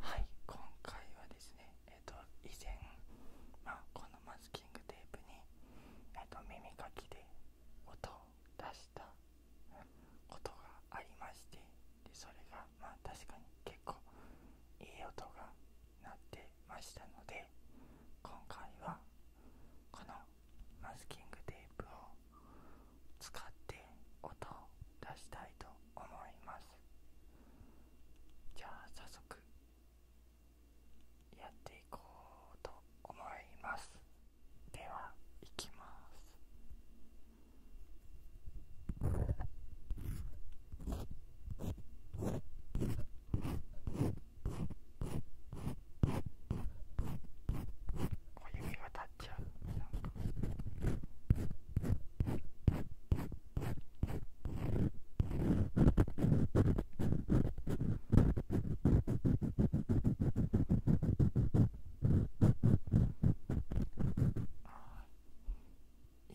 はい今回はですねえっ、と以前、まこのマスキングテープに、えー、と耳かきで音を出したことがありましてでそれがまあ確かに結構いい音が鳴ってましたので今回はこのマスキングテープを使って音を出したいと思いますじゃあ早速やっていこうと思いますではいきますお指が立っゃなんか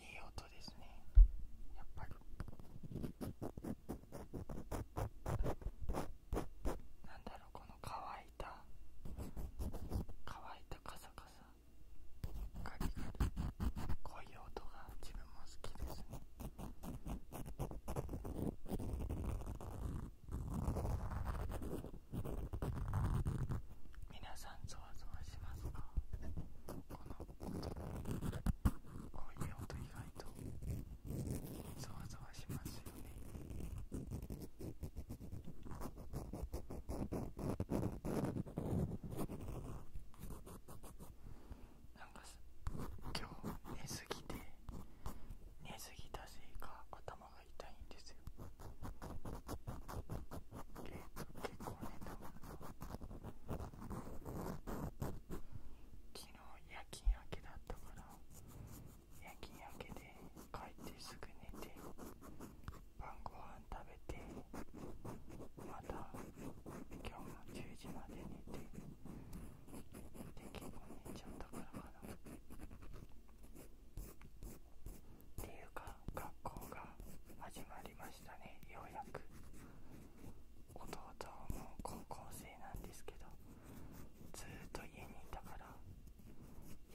いい音ですねやっぱりなんだろうこの乾いた乾いたカサカサガリガリこういう音が自分も好きですねなさんゾワゾワしますかこの音こういう音意外とゾワゾワしますよねなんか今日寝すぎて寝すぎたせいか頭が痛いんですよえ結構寝たもん昨日夜勤明けだったから夜勤明けで帰ってすぐ寝て晩ご飯食べてまた今日も10時まで寝てで結構寝ちゃったからかなっていうか学校が始まりましたねようやく弟も高校生なんですけどずっと家にいたから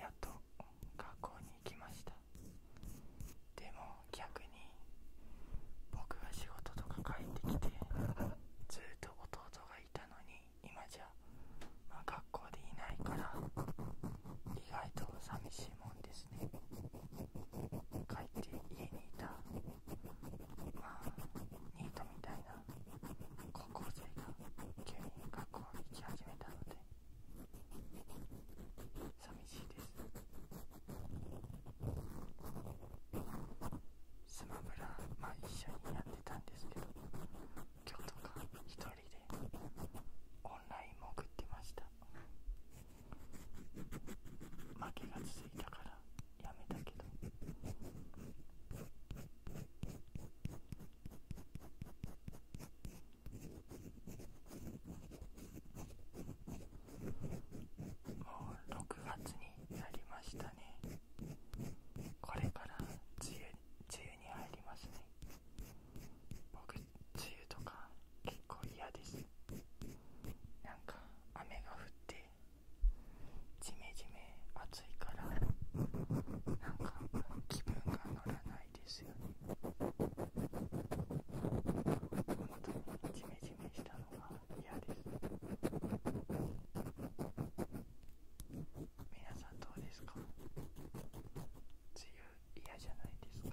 やっと学校に行きましたでも逆に僕が仕事とか帰ってきてずっと弟がいたのに今じゃ、ま学校でいないから意外と寂しいもんですね帰って家にいたまあニートみたいな高校生が急に学校に行き始めたので。寂しいですスマブラまあ一緒にやってたんですけど今日とか一人でオンラインも送ってました負けが続いたからやめたけどもう6月になりましたねこれから梅雨梅雨に入りますね僕梅雨とか結構嫌ですなんか雨が降ってじめじめ暑いからなか気分が乗らないですよね本当にジメジメしたのが嫌です皆さんどうですか梅雨嫌じゃないですか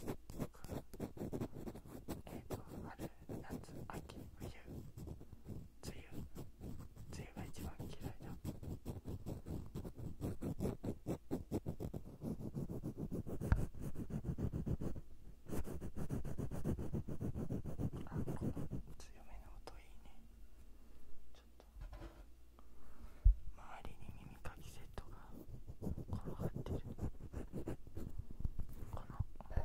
えっ、ー、と春夏秋冬梅雨梅雨が一番嫌いだあこの強めの音いいねちょっと周りに耳かきセットが転がってるこのあこれ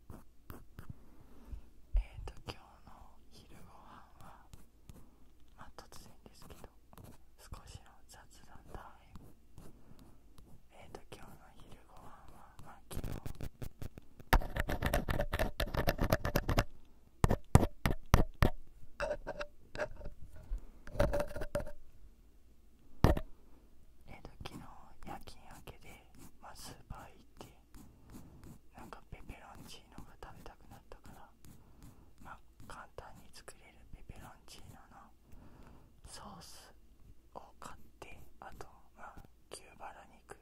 えっ、と今日の昼ごはんはまあ突然ですけど少しの雑談タイムえっ、と今日の昼ごはんはまあ昨日昨えー、と昨日夜勤明けで、まあ、スーパー行ってなんかペペロンチーノが食べたくなったから、ま簡単に作れるペペロンチーノのソースを買ってあと、ま牛バラ肉、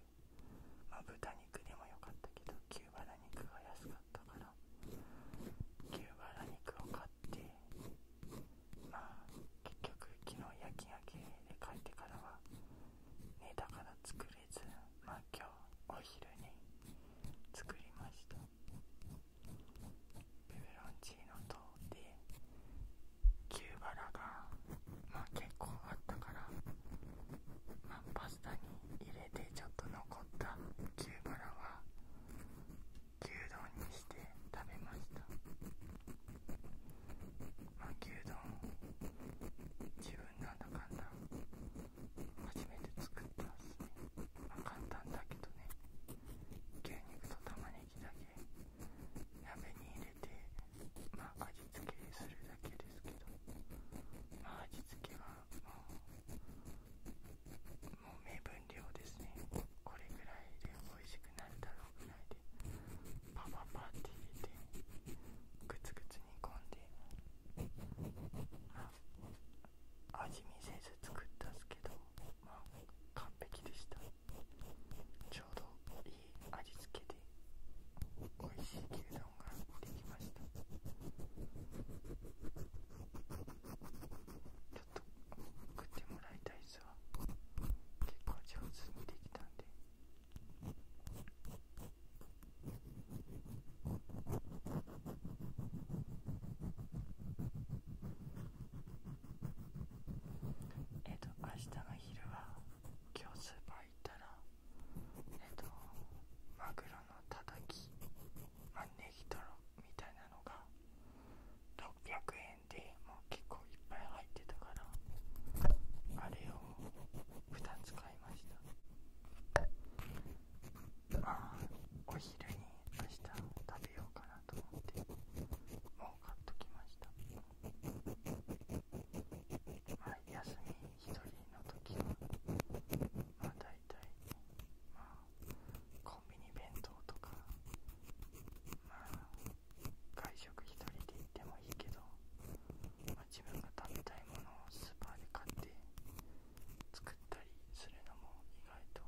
ま豚肉でもよかったけど牛バラ肉が安かったから牛バラ肉を買ってまあ結局昨日夜き明けで帰ってからは寝たから作れずま今日お昼に作りましたペペロンチーノとでキバラがまあ結構あったからパスタに入れてちょっと残った牛バラは牛丼にして食べました巻きう自分なんだ簡単。だ初めて作ったっすねま簡単だけどね牛肉と玉ねぎだけ鍋に入れてま味付けするだけですけどまあ味付けはもうも目分量ですねこれぐらいで美味しくなるだろうぐらいでパパパって入れてグツグツ煮込んでまあ味見せず作ったんですけどまあ完璧でしたちょうどいい味付けで美味しい牛丼ができましたちょっと食ってもらいたい結構上手にできたんでえっと明日の昼は今日スーパー行ったらえっとマグロのたたきネギトロみたいなのが600円でもう結構いっぱい入ってたからあれを2つ買いましたまあお昼に明日食べようかなと思ってもう買っときましたまあ休み一人の時はまあ大体まあコンビニ弁当とかまあ外食一人で行ってもいいけど、ま自分が食べたいものをスーパーで買って作ったりするのも意外と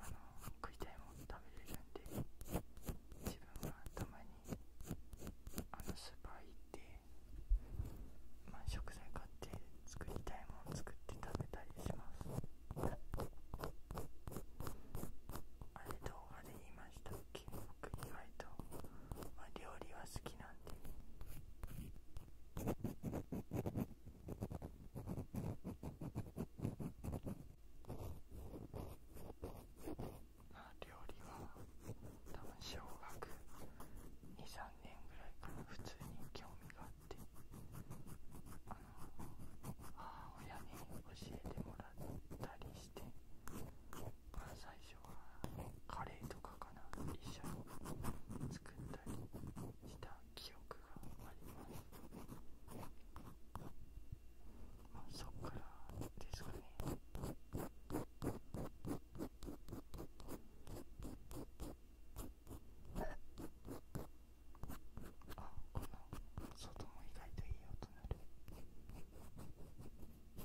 あの食いたいもの食べれるんで自分はたまにあのスーパー行って、ま食材買って作りたいものを作って食べたりします。あれ動画で言いましたっけ僕意外と、まあ、料理は好きなんであ料理は多分小学23年ぐらいから普通に興味があってああの母親に教えてもらったりして最初はカレーとかかな一緒に作ったりした記憶があります、まあ、そっからですかねあこの外も意外といい音なる足が。足が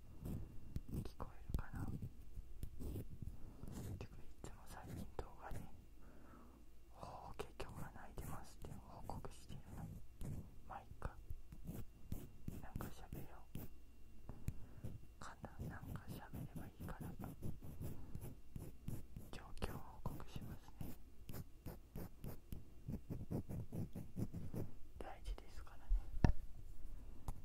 聞こえるかなてかいつも最近動画で「おお結局は泣いてます」って報告してるのまい回なんかしゃ喋ろうかななんかべればいいから状況報告しますね大事ですからね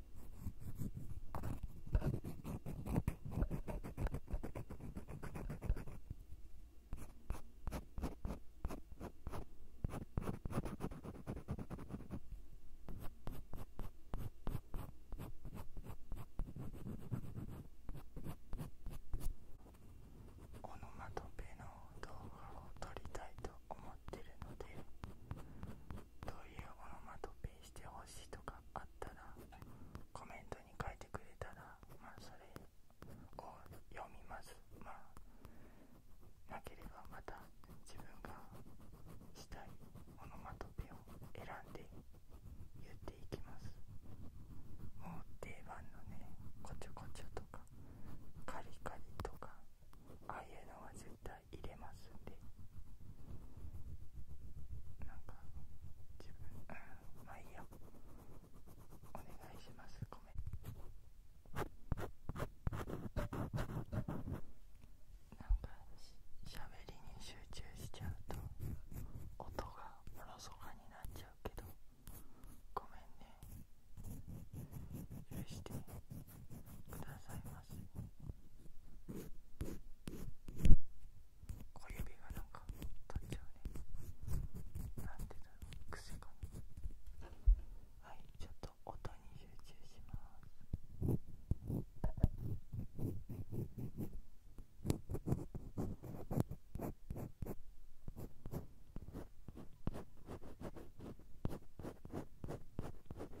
オノマトペの動画を撮りたいと思ってるのでどういうオノマトペしてほしいとかあったらコメントに書いてくれたらまあそれを読みますまあなければまた自分がしたいオノマトペを選んで言っていきますもう定番のねこちょこちょとかカリカリとかああいうのは絶対材入れますんでなんか自分、うん、まあいいやお願いしますごめんなんかしゃべりに集中しちゃうと音がおろそかになっちゃうけどごめんね許して。くださいませ小指がなか取っちゃうねなんてだろう癖かなはいちょっと音に集中します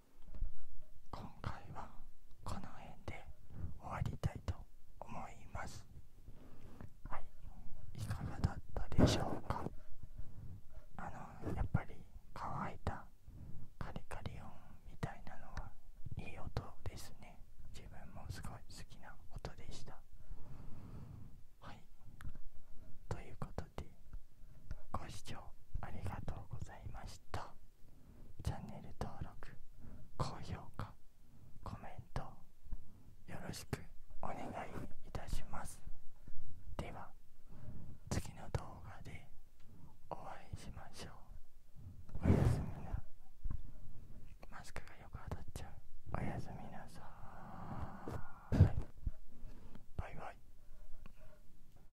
今回はこの辺で終わりたいと思いますはいいかがだったでしょうかあのやっぱり乾いたカリカリ音みたいなのはいい音ですね自分もすごい好きな音でしたはいということでご視聴ありがとうございましたチャンネル登録高評価コメントよろしくお願いいたしますでは次の動画でお会いしましょうおやすみなマスクがよく当たっちゃうおやすみなさいバイバイ